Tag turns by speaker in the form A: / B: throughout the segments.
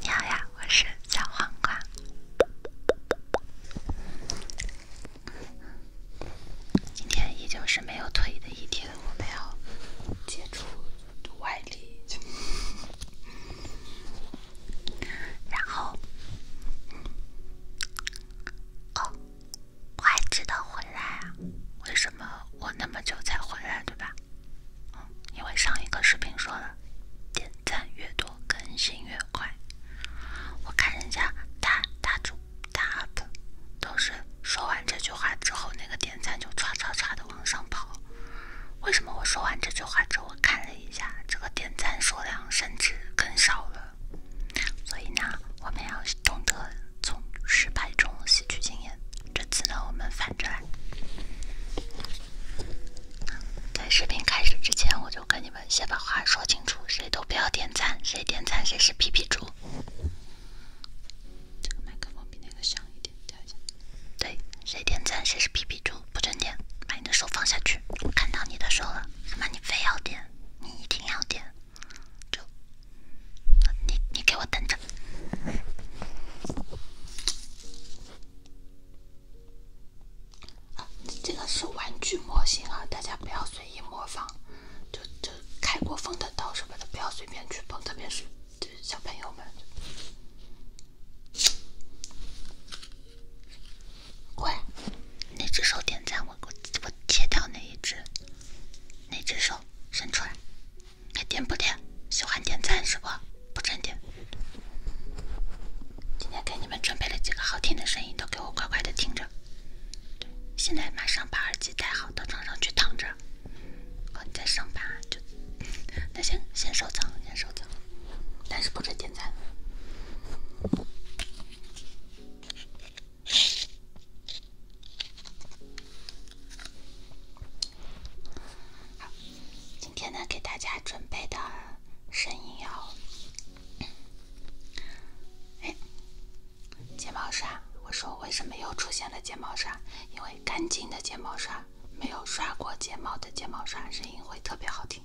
A: 你好呀，我是小黄瓜。今天依旧是没有腿的一天，我们要接触外力，然后。我还知道回来啊？为什么我那么久才回来，对吧？嗯，因为上一个视频说了，点赞越多更新越快。我看人家大大主大 up，都是说完这句话之后，那个点赞就唰唰唰的往上跑。为什么我说完这句话之后，我看了一下这个点赞数量甚至更少了？所以呢，我们要懂得。从失败中吸取经验。这次呢，我们反着来。在视频开始之前，我就跟你们先把话说清楚：谁都不要点赞，谁点赞谁是皮皮猪。这个麦克风比那个响一点，调一下。对，谁点赞谁是皮皮猪，不准点。把你的手放下去，我看到你的手了。他妈，你非要点，你一定要点。就你，你给我等着！这个是玩具模型啊，大家不要随意模仿。就就开过封的刀什么的，不要随便去碰，特别是就是小朋友们。乖，那只手点赞，我我我切掉那一只。那只手伸出来？还点不点？喜欢点赞是不？不准点。今天给你们准备了几个好听的声音，都给我乖乖的听着。现在马上把耳机戴好，到床上去躺着。哦，你再上吧，就。那先先收藏，先收藏。但是不准点赞。好，今天呢，给大家准备的声音要。哎，睫毛刷。我说为什么又出现了睫毛刷？因为干净的睫毛刷，没有刷过睫毛的睫毛刷，声音会特别好听。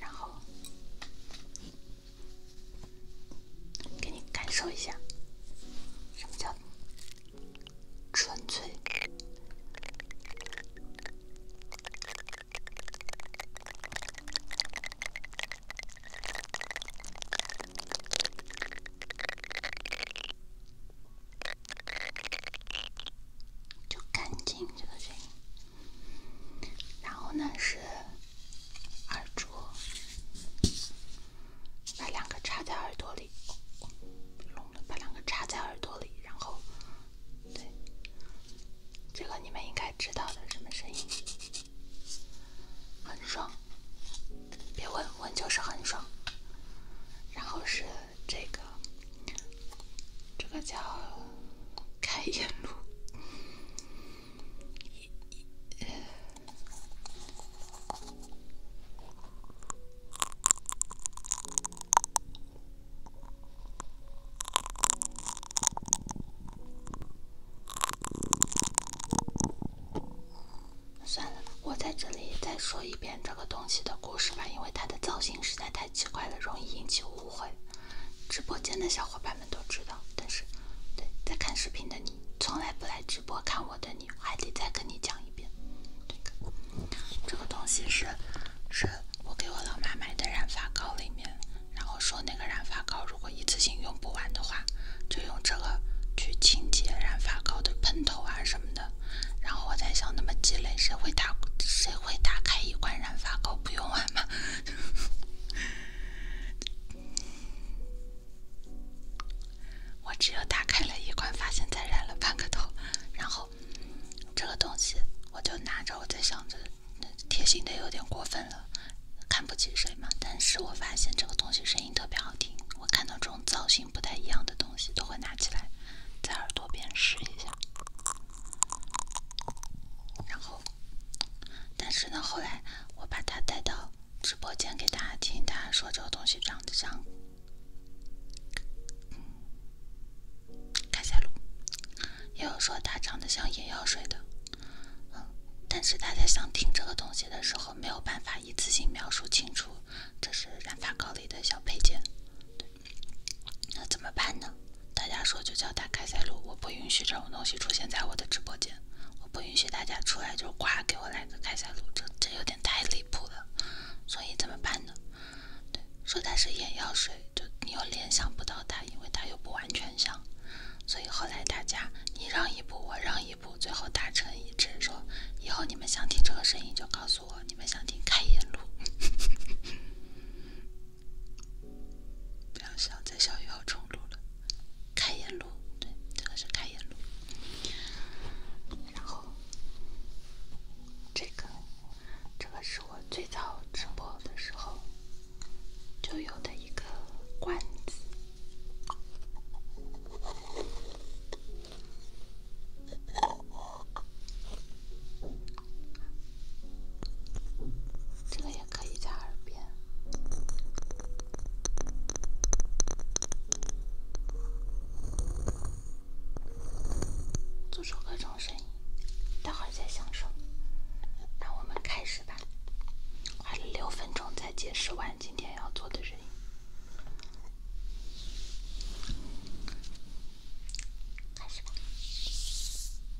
A: 然后。给你感受一下，什么叫纯粹，就干净这个声音。然后呢是。耳罩，把两个插在耳朵里，别了，把两个插在耳朵里，然后，对，这个你们应该知道的什么声音，很爽，别问问就是很爽。然后是这个，这个叫开眼露。算了，我在这里再说一遍这个东西的故事吧，因为它的造型实在太奇怪了，容易引起误会。直播间的小伙伴。他们都知道，但是对在看视频的你，从来不来直播看我的你，还得再跟你讲一遍。这个东西是，是我给我老妈买的染发膏里面，然后说那个染发膏如果一次性用不完的话，就用这个去清洁染发膏的喷头啊什么的。然后我在想，那么鸡肋，谁会打谁会打开一罐染发膏不用完吗？我只有打开了一罐，发现才染了半个头，然后这个东西我就拿着，我在想着，贴心的有点过分了，看不起谁嘛。但是我发现这个东西声音特别好听，我看到这种造型不太一样的东西都会拿起来在耳朵边试一下，然后，但是呢后来。我把它带到直播间给大家听，大家说这个东西长得像塞露，也有说它长得像眼药水的。嗯，但是大家想听这个东西的时候，没有办法一次性描述清楚，这是染发膏里的小配件。那怎么办呢？大家说就叫它开塞露，我不允许这种东西出现在我的直播间。我不允许大家出来就呱给我来个开塞露，这这有点太离谱了，所以怎么办呢？对，说它是眼药水，就你又联想不到它，因为它又不完全像，所以后来大家你让一步我让一步，最后达成一致，说以后你们想听这个声音就告诉我，你们想听开眼露。不要笑，再笑又要重录了。开眼录，对，这个是开眼录。然后，这个，这个是我最早直播的时候就有的一个罐子。这个也。可以在耳边做出各种声音，待会儿再享受。那我们开始吧，花了六分钟才解释完今天要做的声音。开始吧。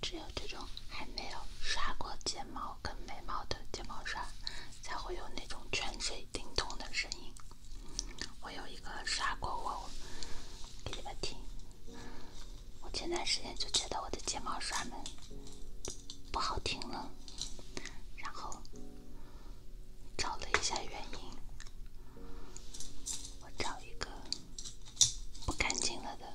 A: 只有这种还没有刷过睫毛。跟眉毛的睫毛刷，才会有那种泉水叮咚的声音。我有一个刷过我，给你们听。我前段时间就觉得我的睫毛刷们不好听了，然后找了一下原因，我找一个不干净了的。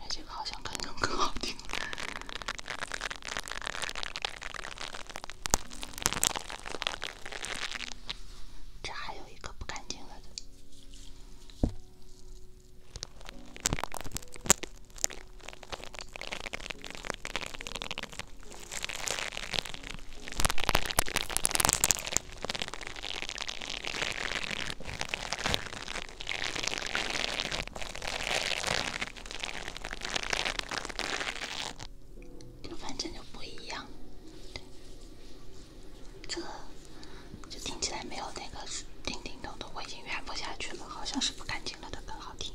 A: 哎，这个好像干净更好听。这还有一个不干净了的。反正就不一样，对，这个就听起来没有那个叮叮咚咚，我已经圆不下去了，好像是不干净了的更好听。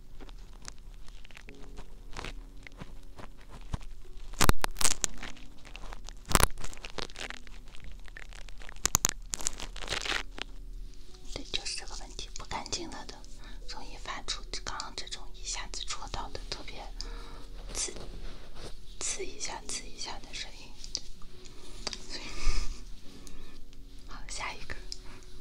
A: 对，就是这个问题，不干净了的，容易发出刚刚这种一下子戳到的特别刺刺一下、刺一下的声音。好，下一个。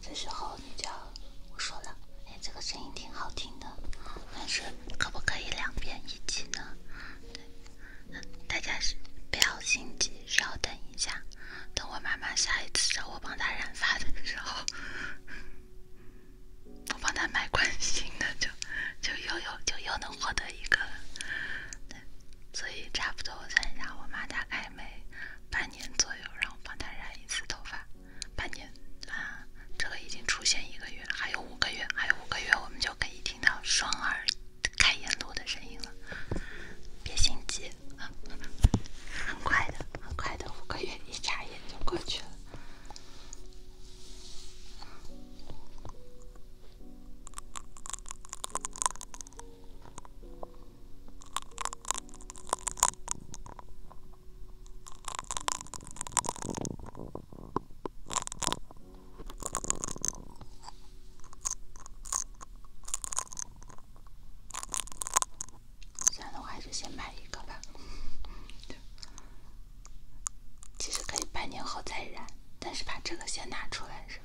A: 这时候你就我说了，哎，这个声音挺好听的，但是可不可以两边一起呢？对，大家不要心急，稍等一下，等我妈妈下一次找我帮她染发的时候。我帮他买款新的，就就又有就又能获得一个了。所以差不多我算一下，我妈大概每半年左右让我帮她染一次头发。半年啊，这个已经出现一个月了，还有五个月，还有五个月我们就可以听到双儿开眼路的声音了。别心急，很快的，很快的，五个月一眨眼就过去了。算了，我还是先买一个吧。其实可以半年后再染，但是把这个先拿出来，是吧？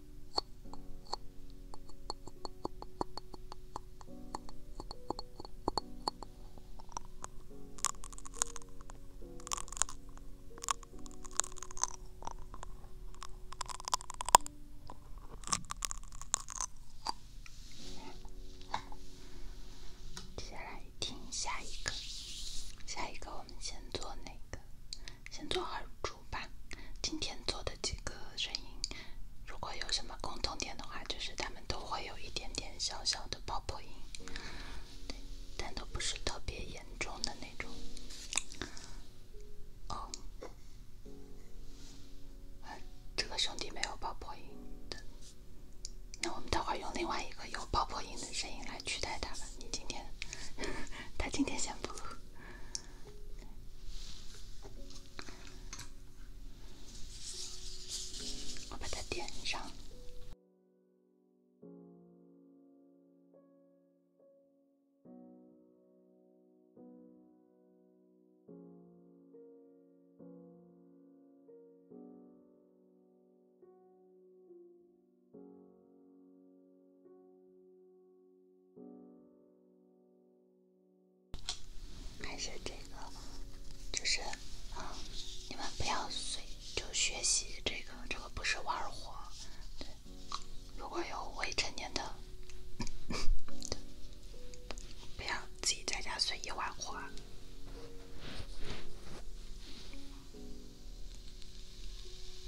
A: 接下来听下一个，下一个我们先做哪个？先做耳珠。吧，今天做的几个声音，如果有什么共同点的话，就是他们都会有一点点小小的爆破音，对，但都不是特别严重的那种。哦，啊，这个兄弟没有爆破音的，那我们待会儿用另外一个有爆破音的声音来取代他吧。你今天，他今天先不。我把它点上。还是这个，就是啊，你们不要随就学习这个，这个不是玩火。对，如果有未成年的，不要自己在家随意玩火。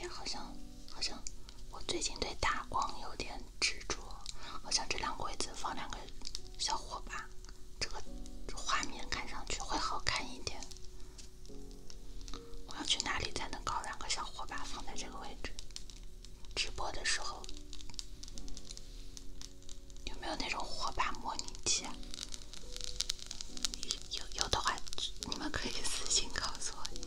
A: 哎，好像，好像我最近对打光有点执着。好像这两个位置放两个小火把，这个画面看上去会好看一点。我要去哪里才能搞两个小火把放在这个位置？直播的时候。有没有那种火把模拟器？有有的话，你们可以私信告诉我一下。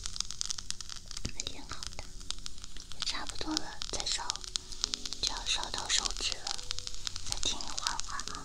A: 还挺好的，也差不多了，再烧就要烧到手指了，再听一会儿啊。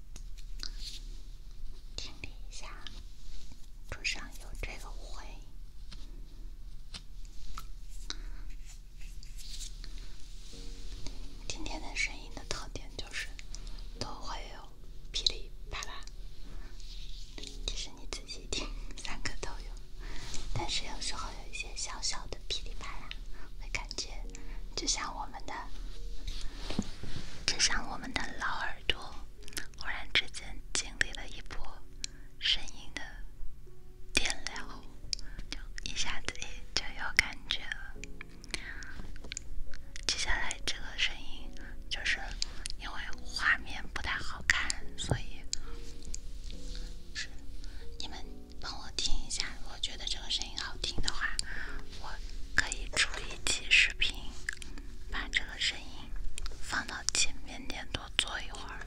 A: 听一下，桌上有这个乌今天的声音的特点就是，都会有噼里啪啦。其实你仔细听，三个都有。但是有时候有一些小小的噼里啪啦，会感觉就像我们的，就像我们的老耳朵。忽然之间经历了一波声音的电疗，就一下子也就有感觉了。接下来这个声音，就是因为画面不太好看，所以你们帮我听一下。我觉得这个声音好听的话，我可以出。一起视频，把这个声音放到前面点多坐一会儿。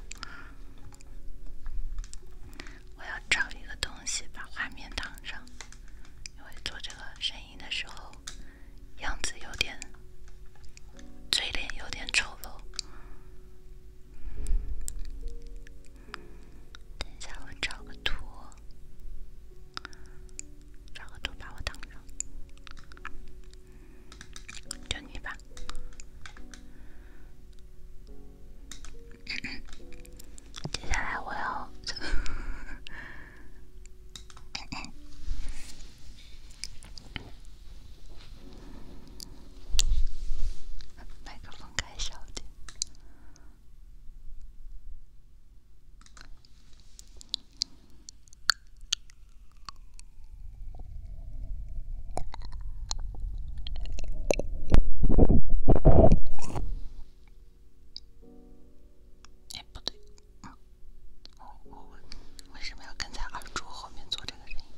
A: 我要找一个东西把画面挡上，因为做这个声音的时候样子有点，嘴脸有点丑陋。等一下，我找个图。找个图把我挡着，就你吧。接下来我要，哎，不对，我我为什么要跟在二柱后面做这个声音？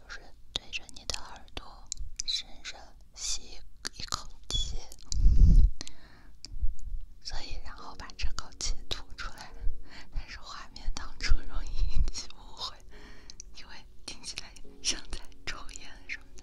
A: 就是对着你的耳朵深深吸一口气，所以然后把这口气吐出来。但是画面当中容易引起误会，因为听起来像在抽烟什么的。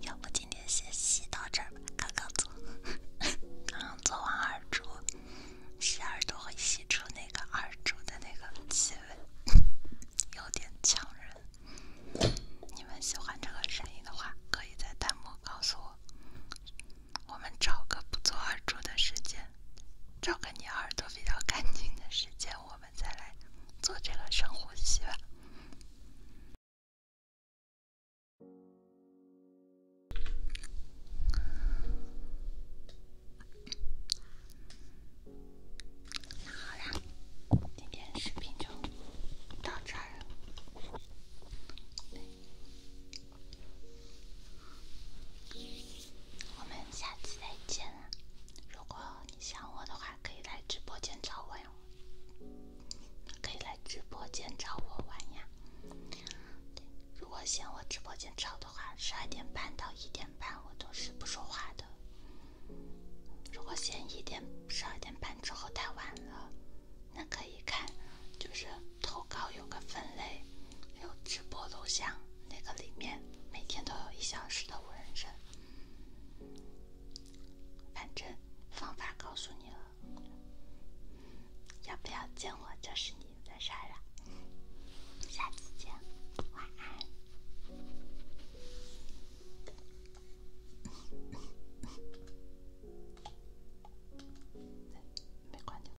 A: 要不今天先吸到这儿吧，刚刚做，刚做完耳珠，吸耳朵会吸出那个耳珠的那个气味，有点呛人。你们喜欢这个声音的话，可以在弹幕告诉我。我们找个不做耳珠的时间，找个你耳朵比较干净的时间，我们再来做这个深呼吸吧。好啦，今天视频就到这儿了。我们下次再见啦！如果你想我的话，可以来直播间找我哟，可以来直播间找我玩呀。如果嫌我直播间吵的话，十二点半到一点半我都是不说话的。如果嫌一点十二点半之后太晚了，那可以看，就是投稿有个分类。有直播录像，那个里面每天都有一小时的无人声。反正方法告诉你了，要不要见我就是你的事儿了。下次见，晚安。